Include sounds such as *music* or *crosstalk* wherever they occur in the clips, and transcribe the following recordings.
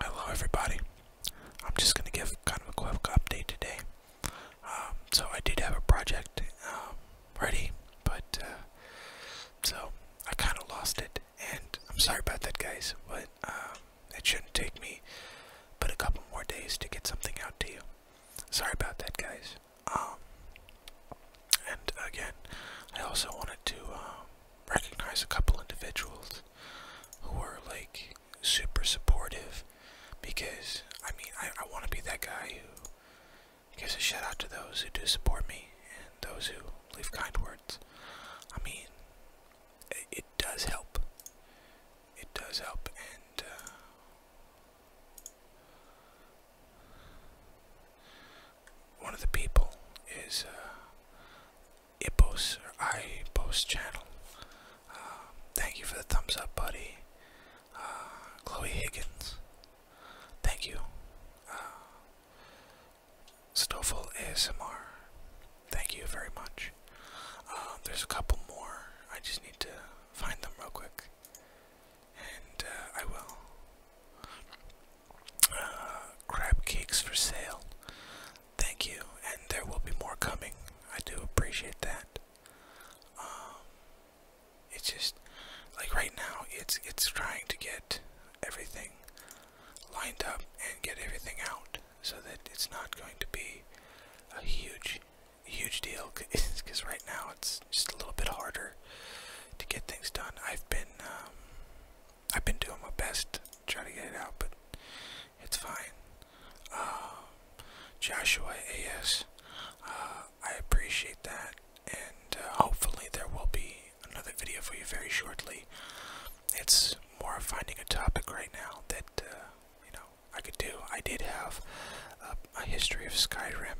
Hello everybody. I'm just gonna give kind of a quick update today. Um, so I did have a project um, ready, but uh, so I kind of lost it, and I'm sorry about that, guys. But um, it shouldn't take me but a couple more days to get something out to you. Sorry about that, guys. and again, I also wanted to recognize a couple individuals who are like super supportive because I mean I, I want to be that guy who gives a shout out to those who do support me and those who leave kind words. I mean, it, does help. It does help, and uh, one of the people is uh, Ipos channel. Uh, thank you for the thumbs up, buddy. Uh, Chloe Higgins. Thank you. Uh, Stoffel ASMR. Thank you very much. Uh, there's a couple more. I just need to find them real quick and uh, I will. Uh, crab cakes for sale. Thank you, and there will be more coming. I do appreciate that. Um, it's just like right now, it's it's trying to get everything lined up and get everything out so that it's not going to be a huge huge deal because *laughs* right now it's just a little bit harder to get things done. I've been um, I've been doing my best to try to get it out, but it's fine. Uh, Joshua AS, uh, I appreciate that, and uh, hopefully there will be another video for you very shortly. It's more of finding a topic right now that you know I could do. I did have a, history of Skyrim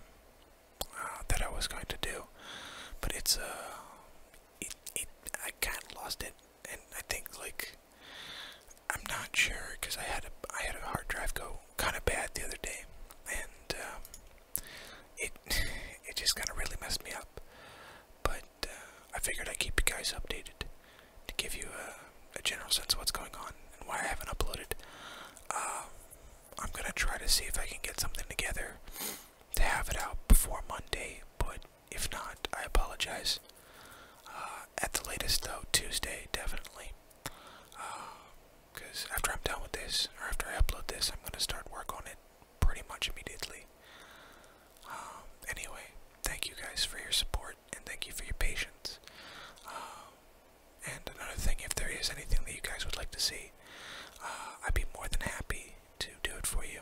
uh, that I was going to do, but it's a. Uh, it, it, I kind of lost it, and I think like I'm not sure because I had a I had a hard drive go kind of bad the other day, and um, it *laughs* it just kind of really messed me up. But uh, I figured I'd keep you guys updated to give you uh, a, general sense of what's going on and why I haven't uploaded. Um, I'm gonna try to see if I can get something together to have it out before Monday, but if not, I apologize. Uh, at the latest, though, Tuesday, definitely. Because after I'm done with this, or after I upload this, I'm gonna start work on it pretty much immediately. Um, anyway, thank you guys for your support and thank you for your patience. Um, and another thing, if there is anything that you guys would like to see, uh, I'd be more than happy to do it for you.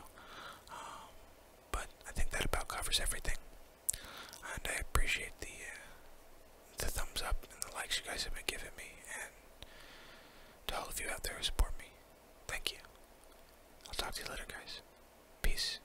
Um, but I think that about covers everything. And I appreciate the uh, the thumbs up and the likes you guys have been giving me, and to all of you out there who support me. Thank you. I'll talk to you later, guys. Peace.